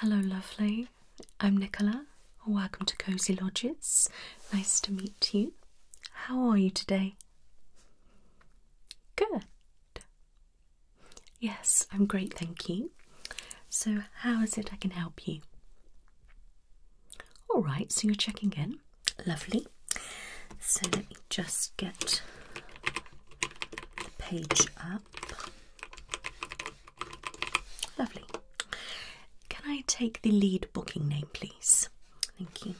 Hello, lovely. I'm Nicola. Welcome to Cozy Lodges. Nice to meet you. How are you today? Good. Yes, I'm great, thank you. So, how is it I can help you? All right, so you're checking in. Lovely. So let me just get the page up. Lovely. Can I take the lead booking name, please? Thank you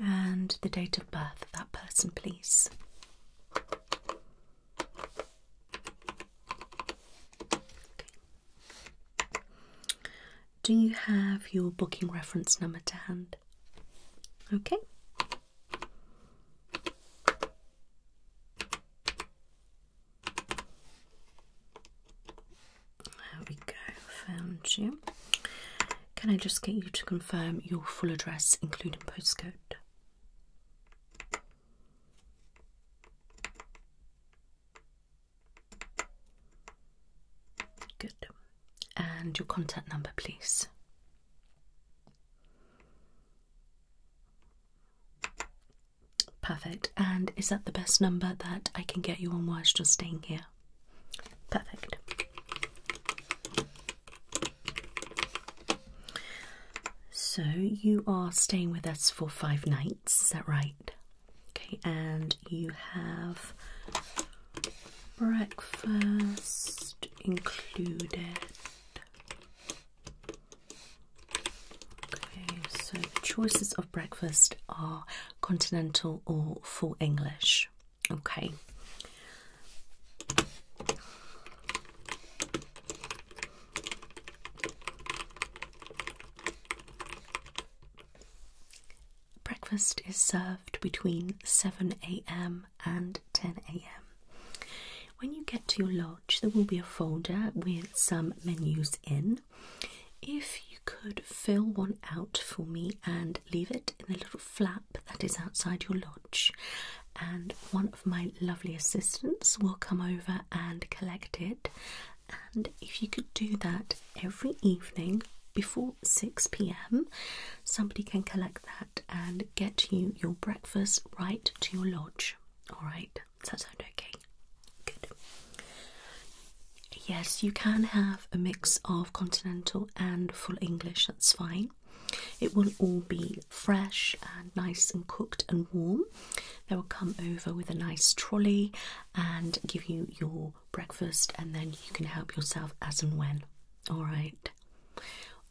and the date of birth of that person, please. Do you have your booking reference number to hand? Okay. There we go, found you. Can I just get you to confirm your full address, including postcode? Good. And your contact number, please. Perfect. And is that the best number that I can get you on whilst you're staying here? Perfect. So you are staying with us for five nights, is that right? Okay, and you have breakfast included. Okay, so the choices of breakfast are continental or full English. Okay. Breakfast is served between 7 a.m. and 10 a.m. When you get to your lodge, there will be a folder with some menus in. If you could fill one out for me and leave it in the little flap that is outside your lodge, and one of my lovely assistants will come over and collect it. And if you could do that every evening before 6 pm, somebody can collect that and get you your breakfast right to your lodge. All right, does that sound okay? Good. Yes, you can have a mix of continental and full English, that's fine. It will all be fresh and nice and cooked and warm. They will come over with a nice trolley and give you your breakfast, and then you can help yourself as and when. All right,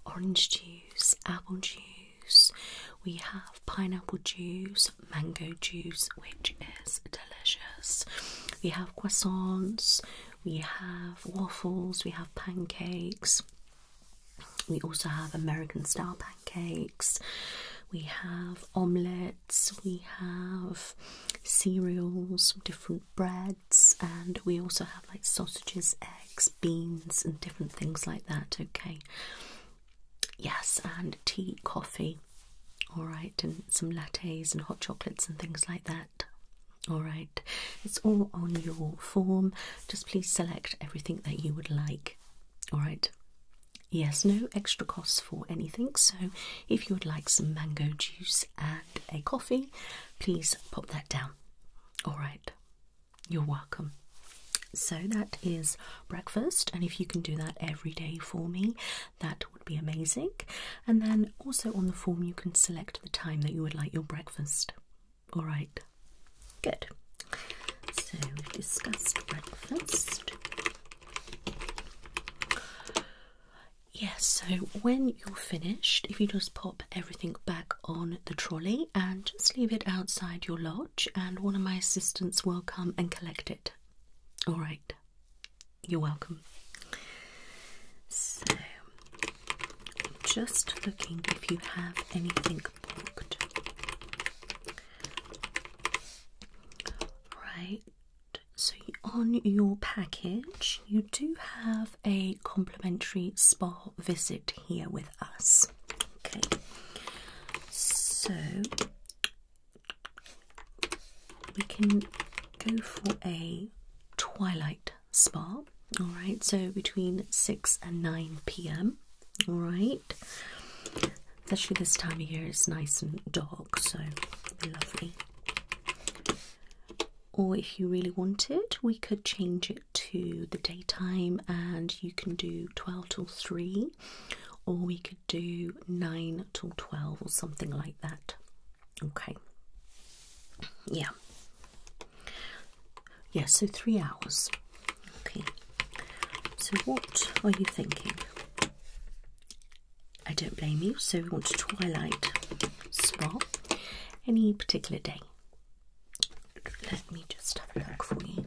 orange juice, apple juice, we have pineapple juice, mango juice, which is delicious. We have croissants, we have waffles, we have pancakes, we also have American style pancakes, we have omelettes, we have cereals, different breads, and we also have like sausages, eggs, beans, and different things like that. Okay, yes, and tea, coffee, all right, and some lattes and hot chocolates and things like that. All right, it's all on your form. Just please select everything that you would like. All right. Yes, no extra costs for anything. So, if you would like some mango juice and a coffee, please pop that down. All right. You're welcome. So, that is breakfast, and if you can do that every day for me, that would be amazing. And then also on the form, you can select the time that you would like your breakfast. All right, good. So we've discussed breakfast. Yes, so when you're finished, if you just pop everything back on the trolley and just leave it outside your lodge, and one of my assistants will come and collect it. All right, you're welcome. So, just looking if you have anything booked. Right, so on your package, you do have a complimentary spa visit here with us. Okay, so we can go for a twilight spa. All right, so between 6 and 9 p.m. All right, especially this time of year, it's nice and dark, so lovely. Or if you really wanted, we could change it to the daytime and you can do 12 till 3, or we could do 9 till 12 or something like that. Okay. Yeah. Yeah, so three hours. Okay. So what are you thinking? I don't blame you. So we want a twilight spot. Any particular day? Let me just have a look for you.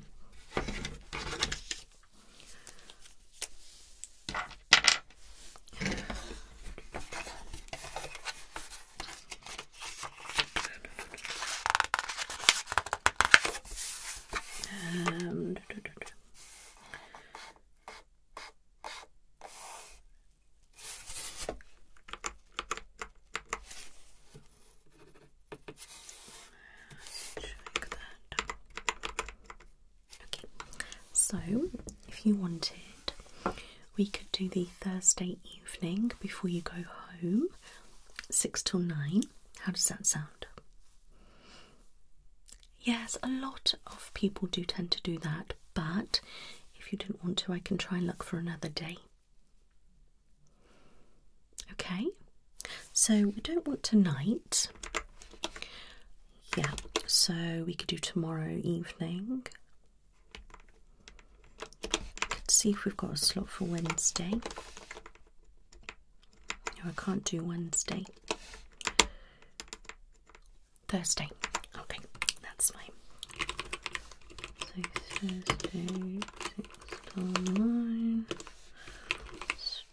Um, Check that. Okay, so if you wanted, we could do the Thursday evening before you go home, six till nine. How does that sound? Yes, a lot of people do tend to do that, but if you didn't want to, I can try and look for another day. Okay, so we don't want tonight. Yeah, so we could do tomorrow evening. Let's see if we've got a slot for Wednesday. No, I can't do Wednesday. Thursday. Okay, that's fine. So Thursday, six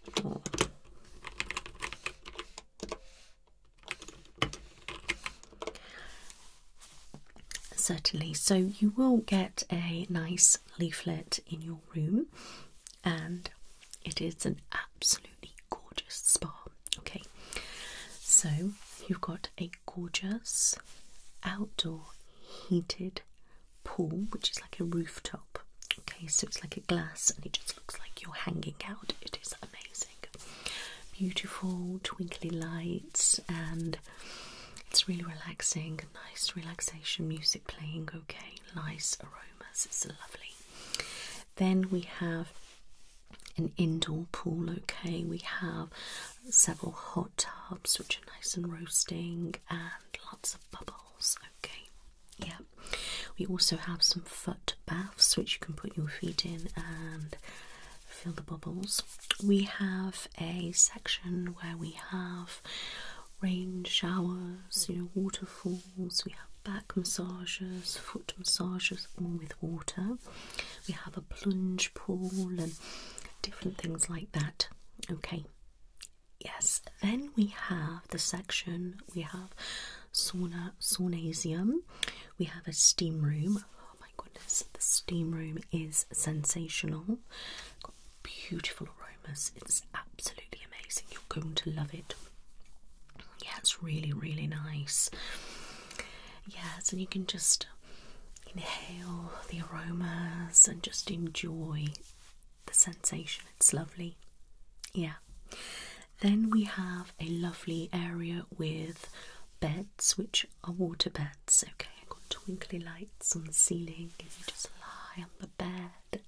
Certainly, so you will get a nice leaflet in your room, and it is an absolutely gorgeous spa. Okay, so you've got a gorgeous outdoor heated pool, which is like a rooftop. Okay, so it's like a glass and it just looks like you're hanging out. It is amazing. Beautiful twinkly lights, and it's really relaxing. Nice relaxation music playing, okay, nice aromas. It's lovely. Then we have an indoor pool, okay. We have several hot tubs which are nice and roasting, and lots of bubbles, okay. Yeah, we also have some foot baths which you can put your feet in and feel the bubbles. We have a section where we have rain showers, you know, waterfalls, we have back massages, foot massages, all with water. We have a plunge pool and different things like that. Okay. Yes, then we have the section we have sauna saunasium. We have a steam room. Oh my goodness, the steam room is sensational. Got beautiful aromas. It's absolutely amazing. You're going to love it. Yeah, it's really, really nice. Yes, and you can just inhale the aromas and just enjoy the sensation. It's lovely. Yeah. Then we have a lovely area with beds, which are water beds. Okay, I've got twinkly lights on the ceiling, and you just lie on the bed,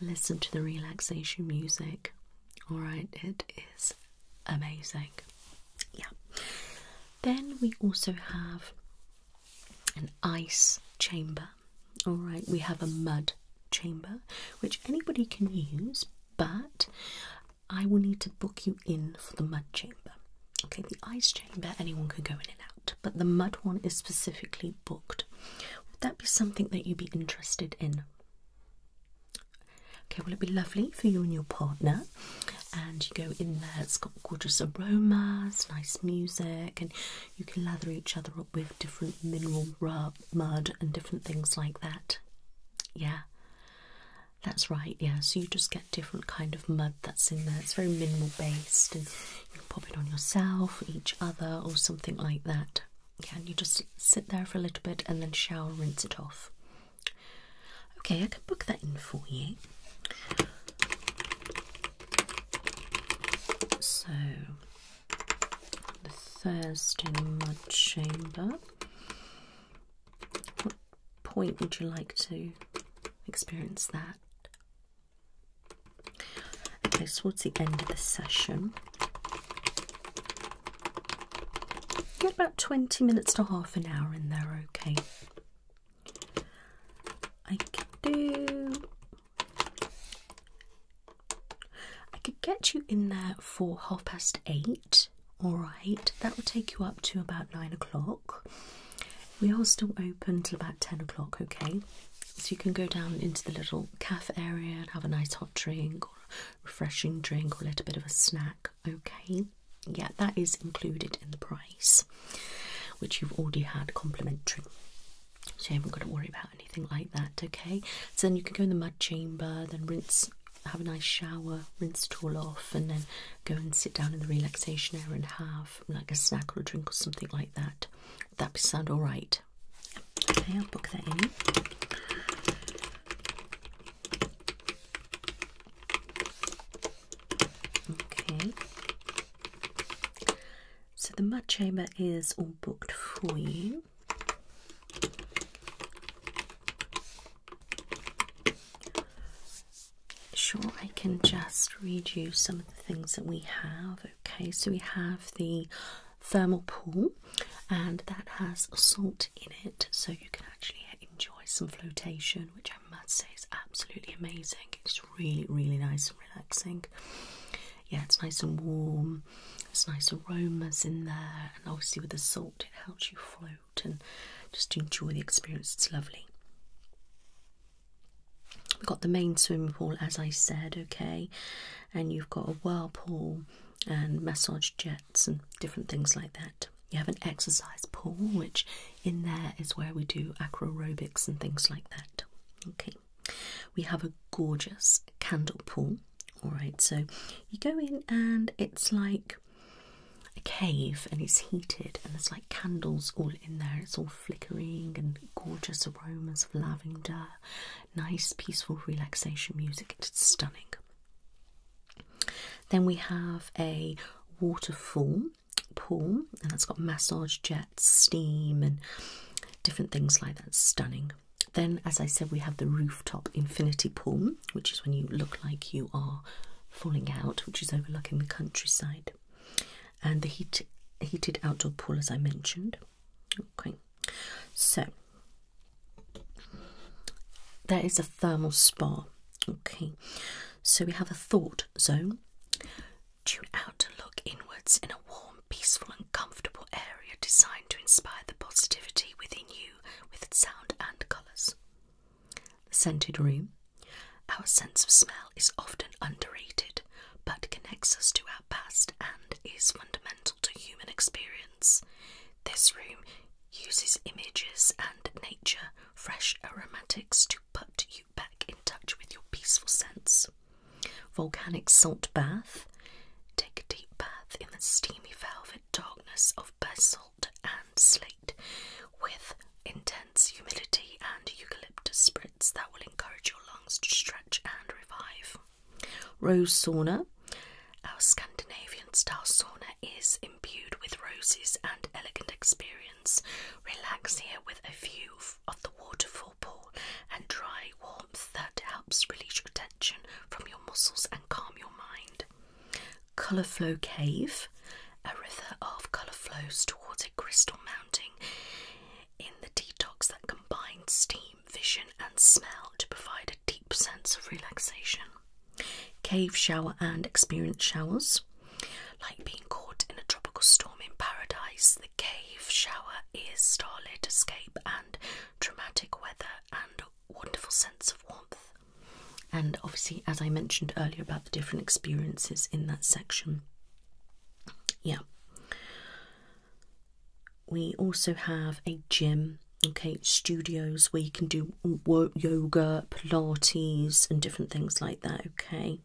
listen to the relaxation music. All right, it is amazing. Yeah. Then we also have an ice chamber. All right, we have a mud chamber, which anybody can use, but I will need to book you in for the mud chamber. Okay, the ice chamber, anyone can go in and out, but the mud one is specifically booked. Would that be something that you'd be interested in? Okay, will it be lovely for you and your partner. And you go in there, it's got gorgeous aromas, nice music, and you can lather each other up with different mineral rubs mud and different things like that. Yeah, that's right. Yeah, so you just get different kind of mud that's in there. It's very minimal based, and you pop it on yourself, each other, or something like that. Yeah, and you just sit there for a little bit and then shower, rinse it off. Okay, I can book that in for you. So the in my chamber. What point would you like to experience that? Okay, towards the end of the session. Get about 20 minutes to half an hour in there, okay? I could do I could get you in there for half past eight, alright? That will take you up to about nine o'clock. We are still open till about ten o'clock, okay? So you can go down into the little cafe area and have a nice hot drink or refreshing drink or a little bit of a snack, okay? Yeah, that is included in the price, which you've already had complimentary. So you haven't got to worry about anything like that, okay? So then you can go in the mud chamber, then rinse, have a nice shower, rinse it all off, and then go and sit down in the relaxation area and have like a snack or a drink or something like that. Would be sound all right? Okay, I'll book that in. Okay. So the mud chamber is all booked for you. Sure, I can just read you some of the things that we have. Okay, so we have the thermal pool, and that has salt in it, so you can actually enjoy some flotation, which I must say is absolutely amazing. It's really, really nice and relaxing yeah, it's nice and warm. There's nice aromas in there, and obviously with the salt, it helps you float and just enjoy the experience. It's lovely. We've got the main swimming pool, as I said, okay, and you've got a whirlpool and massage jets and different things like that. You have an exercise pool, which in there is where we do acroarobics and things like that. Okay, we have a gorgeous candle pool. Alright, so you go in and it's like a cave and it's heated and there's like candles all in there. It's all flickering and gorgeous aromas of lavender, nice peaceful relaxation music. It's stunning. Then we have a waterfall pool and it has got massage jets, steam and different things like that. stunning. Then, as I said, we have the rooftop infinity pool, which is when you look like you are falling out, which is overlooking the countryside, and the heat, heated outdoor pool, as I mentioned. Okay, so there is a thermal spa. Okay, so we have a thought zone. Tune out to look inwards in a warm peaceful, and comfortable area designed to inspire the positivity within you with sound and colours. The scented room. Our sense of smell is often underrated but connects us to our past and is fundamental to human experience. This room uses images and nature, fresh aromatics to put you back in touch with your peaceful sense. Volcanic salt bath. Take a deep bath in the steamy velvet darkness of basalt and slate with intense humidity and eucalyptus spritz that will encourage your lungs to stretch and revive. Rose sauna. Our Scandinavian style sauna is imbued with roses and elegant experience. Relax here with a view of the waterfall and dry warmth that helps release your tension from your muscles and calm your mind. Color flow Cave, a river of color flows towards a crystal mounting in the detox that combines steam, vision, and smell to provide a deep sense of relaxation. Cave shower and experience showers. Like being caught in a tropical storm in paradise, the cave shower is starlit escape and dramatic weather, and wonderful sense of warmth. And obviously, as I mentioned earlier about the different experiences in that section, yeah. We also have a gym, okay, studios where you can do yoga, Pilates, and different things like that, okay.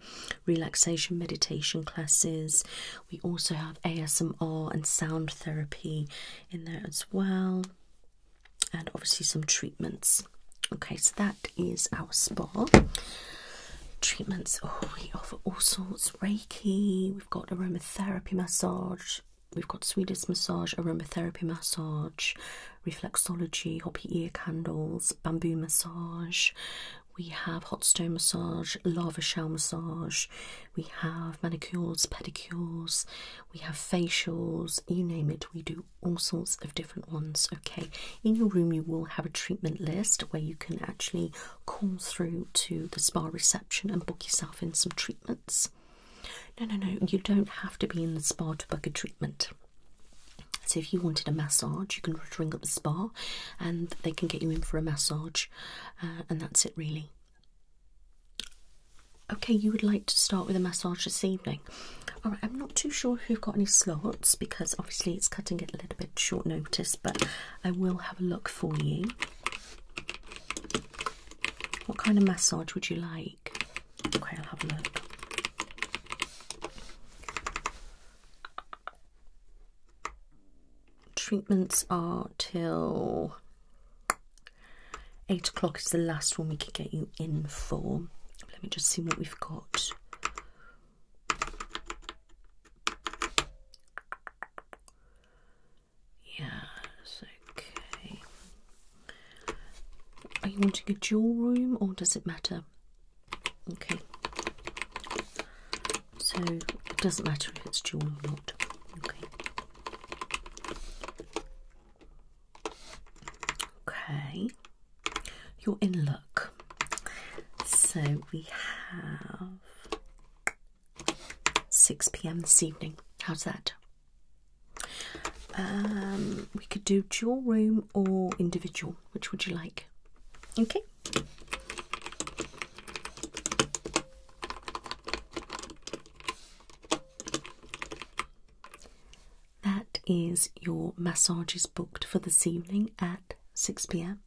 Relaxation, meditation classes, we also have ASMR and sound therapy in there as well, and obviously some treatments. Okay, so that is our spa treatments. Oh, we offer all sorts Reiki, we've got aromatherapy massage. We've got Swedish massage, aromatherapy massage, reflexology, hoppy ear candles, bamboo massage. We have hot stone massage, lava shell massage we have manicures, pedicures, we have facials, you name it, we do all sorts of different ones. Okay, in your room, you will have a treatment list where you can actually call through to the spa reception and book yourself in some treatments. No, no, no, you don't have to be in the spa to book a treatment. So, if you wanted a massage, you can ring up the spa and they can get you in for a massage. Uh, and that's it really. Okay, you would like to start with a massage this evening. All right, I'm not too sure if you've got any slots because obviously it's cutting it a little bit short notice, but I will have a look for you. What kind of massage would you like? Okay, I'll have a look treatments are till eight o'clock is the last one we can get you in for. Let me just see what we've got. Yes, okay. Are you wanting a dual room or does it matter? Okay. So it doesn't matter if it's dual or not. Okay. Okay. You're in luck. So we have 6 p.m. this evening. How's that? Um, we could do dual room or individual. Which would you like? Okay. That is your massages booked for this evening at 6 pm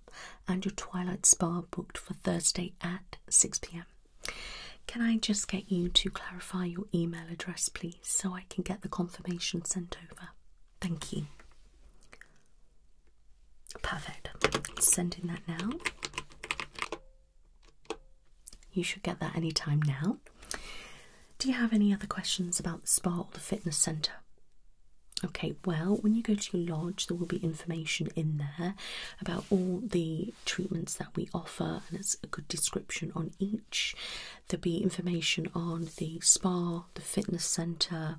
and your Twilight Spa booked for Thursday at 6 pm. Can I just get you to clarify your email address, please, so I can get the confirmation sent over? Thank you. Perfect. Sending that now. You should get that any time now. Do you have any other questions about the spa or the fitness centre? Okay, well, when you go to your lodge, there will be information in there about all the treatments that we offer, and it's a good description on each. There'll be information on the spa, the fitness centre,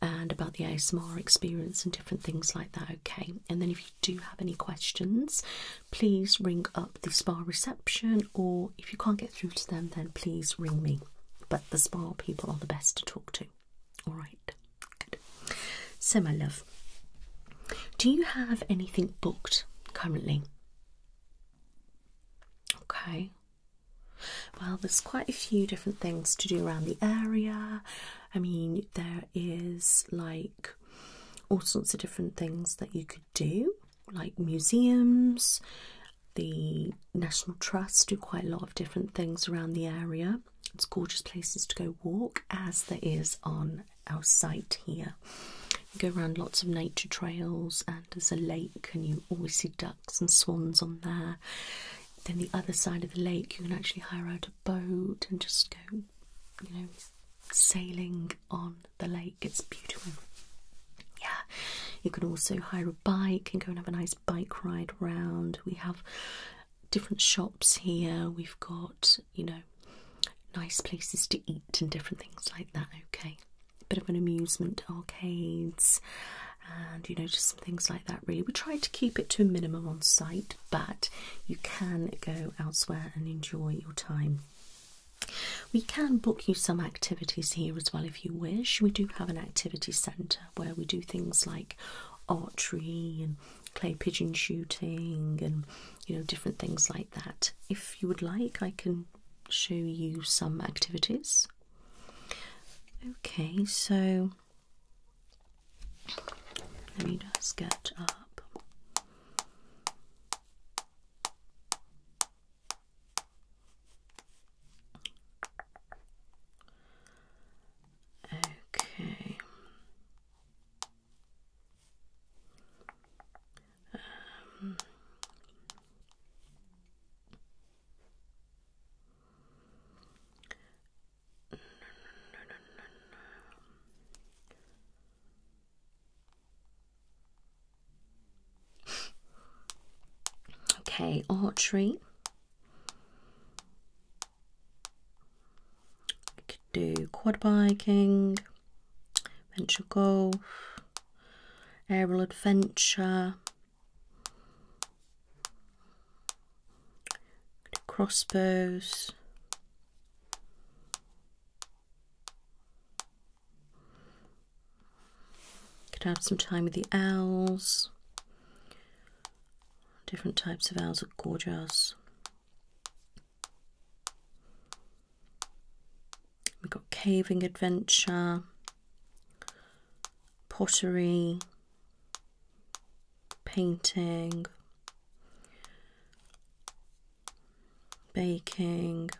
and about the ASMR experience and different things like that. Okay, and then if you do have any questions, please ring up the spa reception, or if you can't get through to them, then please ring me. But the spa people are the best to talk to. All right, good. So, my love, do you have anything booked currently? Okay. Well, there's quite a few different things to do around the area. I mean, there is like all sorts of different things that you could do, like museums. The National Trust do quite a lot of different things around the area. It's gorgeous places to go walk, as there is on our site here. You go around lots of nature trails, and there's a lake, and you always see ducks and swans on there then the other side of the lake you can actually hire out a boat and just go, you know, sailing on the lake. It's beautiful. Yeah, you can also hire a bike and go and have a nice bike ride round. We have different shops here. We've got, you know, nice places to eat and different things like that. Okay, a bit of an amusement arcades and you notice some things like that really we try to keep it to a minimum on site but you can go elsewhere and enjoy your time we can book you some activities here as well if you wish we do have an activity centre where we do things like archery and clay pigeon shooting and you know different things like that if you would like i can show you some activities okay so let me just get up. Okay. Um, Okay, archery. could do quad biking, adventure golf, aerial adventure, crossbows. Could have some time with the owls. Different types of owls are gorgeous. We've got caving adventure, pottery painting, baking,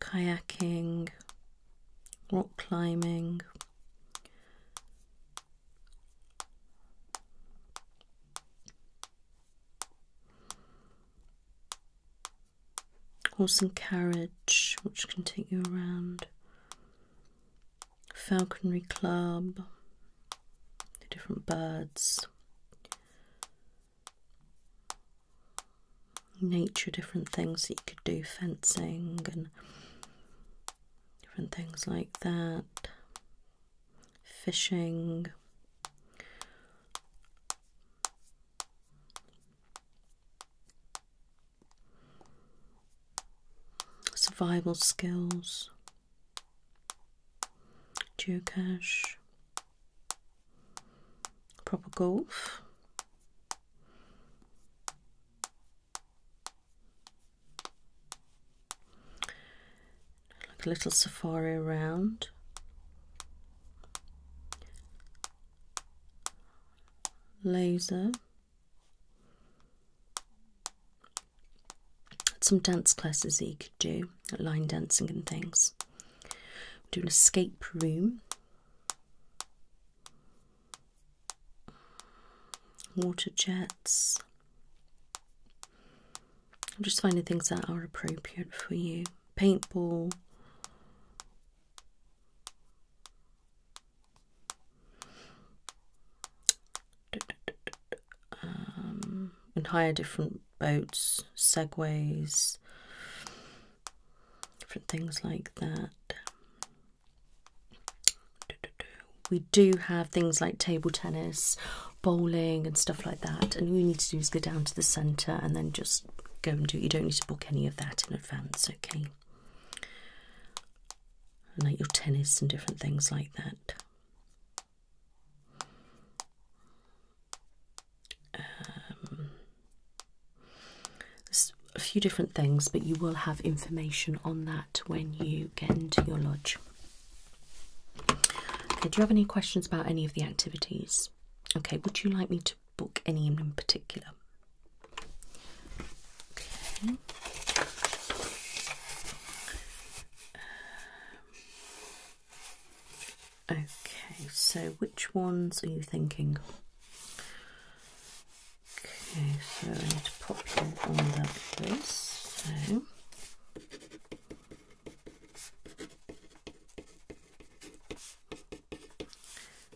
kayaking, rock climbing. Horse and carriage, which can take you around falconry club, different birds, nature, different things that you could do, fencing and different things like that, fishing survival skills, geocache, proper golf. Like a little safari around. Laser. Some dance classes that you could do, line dancing and things. do an escape room. Water jets. I'm just finding things that are appropriate for you. Paintball and um, hire different boats, segways, different things like that. We do have things like table tennis, bowling, and stuff like that. And all you need to do is go down to the centre and then just go and do it. You don't need to book any of that in advance, okay? like your tennis and different things like that. there's um, a few different things, but you will have information on that when you get into your lodge. do you have any questions about any of the activities? Okay, would you like me to book any in particular? Okay. okay, so which ones are you thinking? Okay, so I need to pop you on that list. So.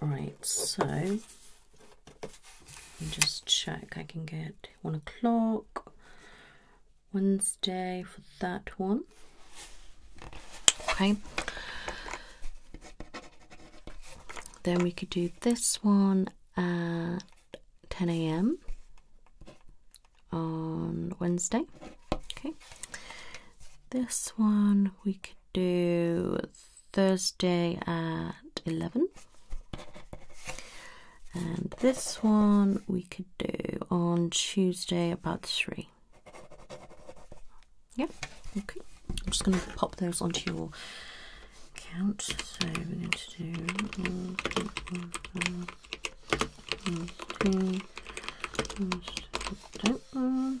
Right, so just check I can get one o'clock Wednesday for that one. Okay. Then we could do this one at 10 a.m. on Wednesday. Okay. This one we could do Thursday at 11. And this one we could do on Tuesday about 3. Yep. okay. I'm just going to pop those onto your count. So we're going to do one, two, one, two, one, two, one, two,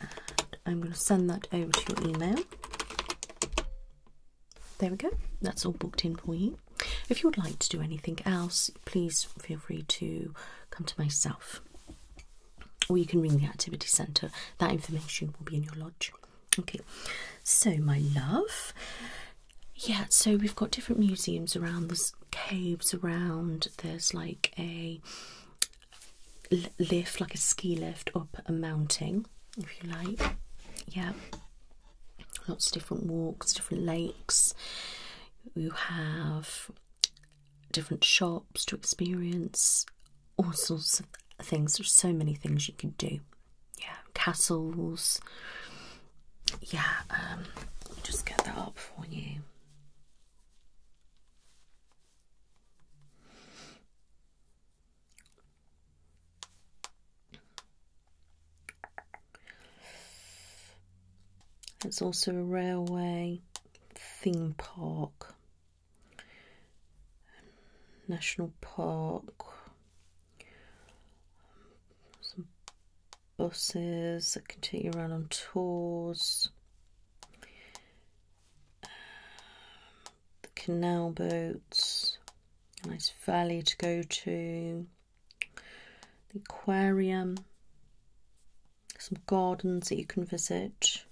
and I'm going to send that over to your email. There we go, that's all booked in for you. If you would like to do anything else, please feel free to come to myself or you can ring the activity centre. That information will be in your lodge. Okay, so my love, yeah, so we've got different museums around, there's caves around, there's like a lift, like a ski lift, up a mountain, if you like. Yeah, lots of different walks, different lakes. You have different shops to experience, all sorts of things. There's so many things you can do. Yeah, castles. Yeah, um, just get that up for you. It's also a railway, theme park, national park, some buses that can take you around on tours the canal boats, a nice valley to go to, the aquarium, some gardens that you can visit.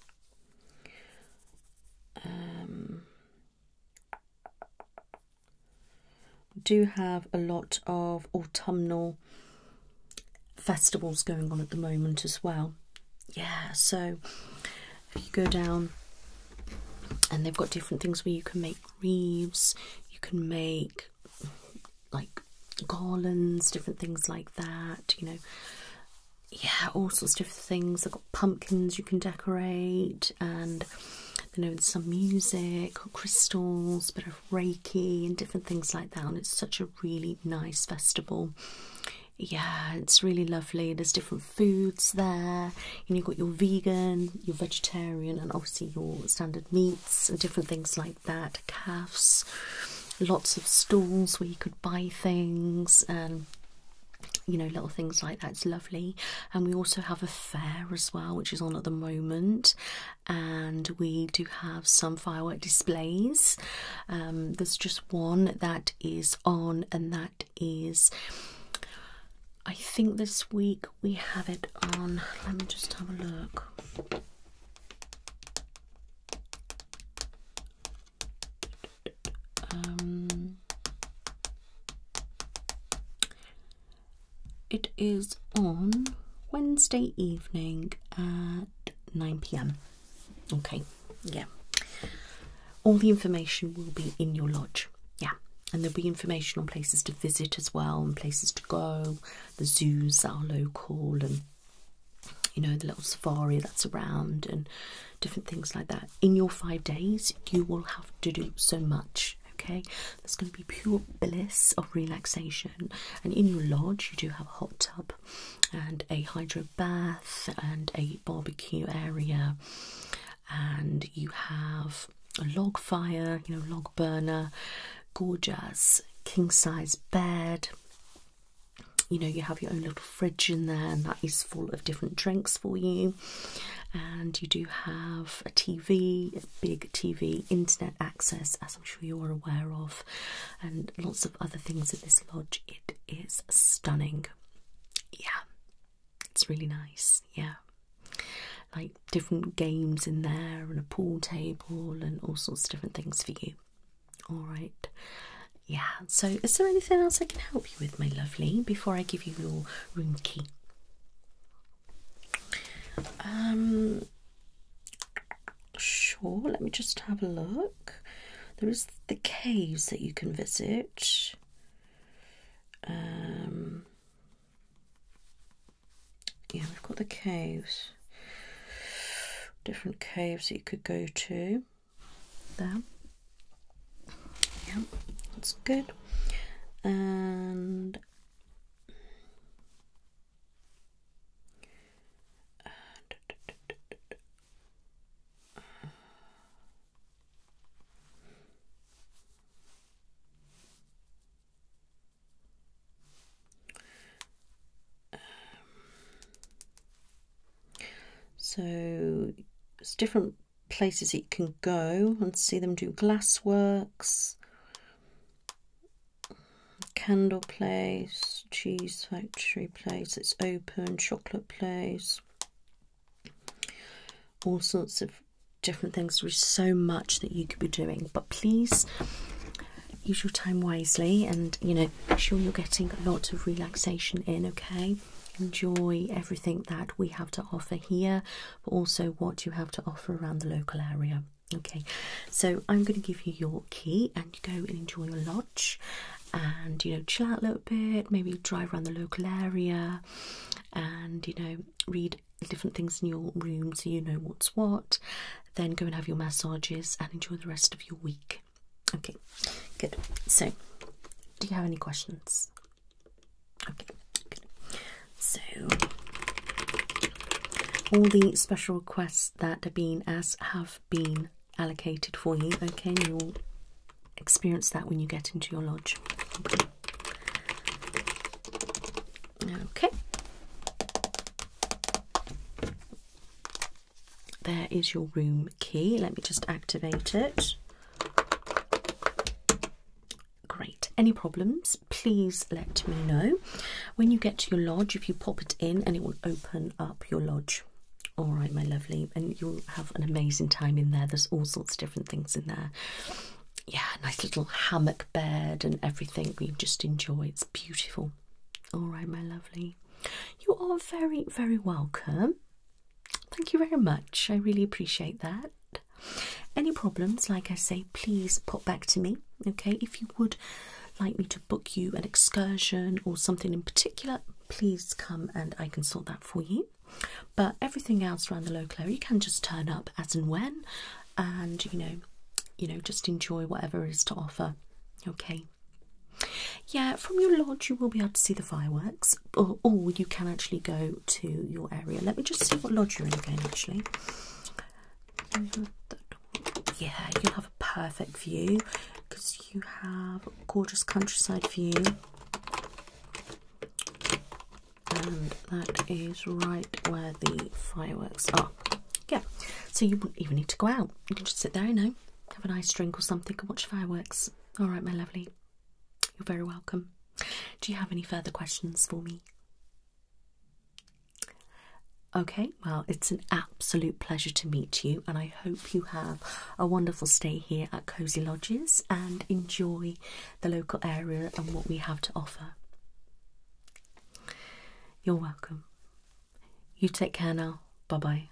Um, do have a lot of autumnal festivals going on at the moment as well. Yeah, so if you go down and they've got different things where you can make wreaths, you can make like garlands, different things like that, you know. Yeah, all sorts of different things. They've got pumpkins you can decorate and you know, some music, crystals, bit of Reiki and different things like that. And it's such a really nice festival yeah, it's really lovely. There's different foods there, you've got your vegan, your vegetarian, and obviously your standard meats and different things like that. Calves, lots of stalls where you could buy things and you know, little things like that. It's lovely. And we also have a fair as well, which is on at the moment, and we do have some firework displays. Um, there's just one that is on, and that is, I think this week we have it on. Let me just have a look. Um, it is on Wednesday evening at 9 pm. Okay, yeah. All the information will be in your lodge, yeah, and there'll be information on places to visit as well, and places to go, the zoos that are local, and you know, the little safari that's around, and different things like that. In your five days, you will have to do so much. Okay, there's going to be pure bliss of relaxation, and in your lodge, you do have a hot tub and a hydro bath and a barbecue area and you have a log fire, you know, log burner, gorgeous king size bed. You know, you have your own little fridge in there, and that is full of different drinks for you. And you do have a TV, a big TV, internet access, a I'm sure you're aware of, and lots of other things at this lodge. It is stunning. Yeah, it's really nice. Yeah, like different games in there, and a pool table, and all sorts of different things for you. All right. Yeah, so is there anything else I can help you with, my lovely, before I give you your room key? Um, sure, let me just have a look. There is the caves that you can visit. Um, yeah, we've got the caves. Different caves that you could go to. There. Yeah, that's good. And so it's different places it can go and see them do glassworks Candle Place, Cheese Factory Place, it's open, Chocolate Place, all sorts of different things. There's so much that you could be doing, but please use your time wisely and you know, make sure you're getting a lot of relaxation in, okay? Enjoy everything that we have to offer here, but also what you have to offer around the local area. Okay, so I'm going to give you your Torquay and go and enjoy your lodge and you know chill out a little bit, maybe drive around the local area and you know read different things in your room so you know what's what, then go and have your massages and enjoy the rest of your week. Okay, good. So, do you have any questions? Okay, good. So, all the special requests that have been asked have been allocated for you. Okay, you'll experience that when you get into your lodge. Okay. There is your room key. Let me just activate it. Great. Any problems, please let me know. When you get to your lodge, if you pop it in and it will open up your lodge. All right, my lovely, and you'll have an amazing time in there. There's all sorts of different things in there. Yeah, nice little hammock bed and everything. We just enjoy. It's beautiful. All right, my lovely. You are very, very welcome. Thank you very much. I really appreciate that. Any problems, like I say, please pop back to me. Okay, if you would like me to book you an excursion or something in particular, please come and I can sort that for you. But everything else around the local area, you can just turn up as and when, and you know, you know, just enjoy whatever is to offer. Okay. Yeah, from your lodge you will be able to see the fireworks, or you can actually go to your area. Let me just see what lodge you're in again. Actually, yeah, you'll have a perfect view because you have a gorgeous countryside view, and that is right where the fireworks are. Yeah, so you will not even need to go out. You can just sit there, you know, have a nice drink or something, and watch fireworks. All right, my lovely, you're very welcome. Do you have any further questions for me? Okay, well, it's an absolute pleasure to meet you, and I hope you have a wonderful stay here at Cozy Lodges and enjoy the local area and what we have to offer. You're welcome. You take care now. Bye bye.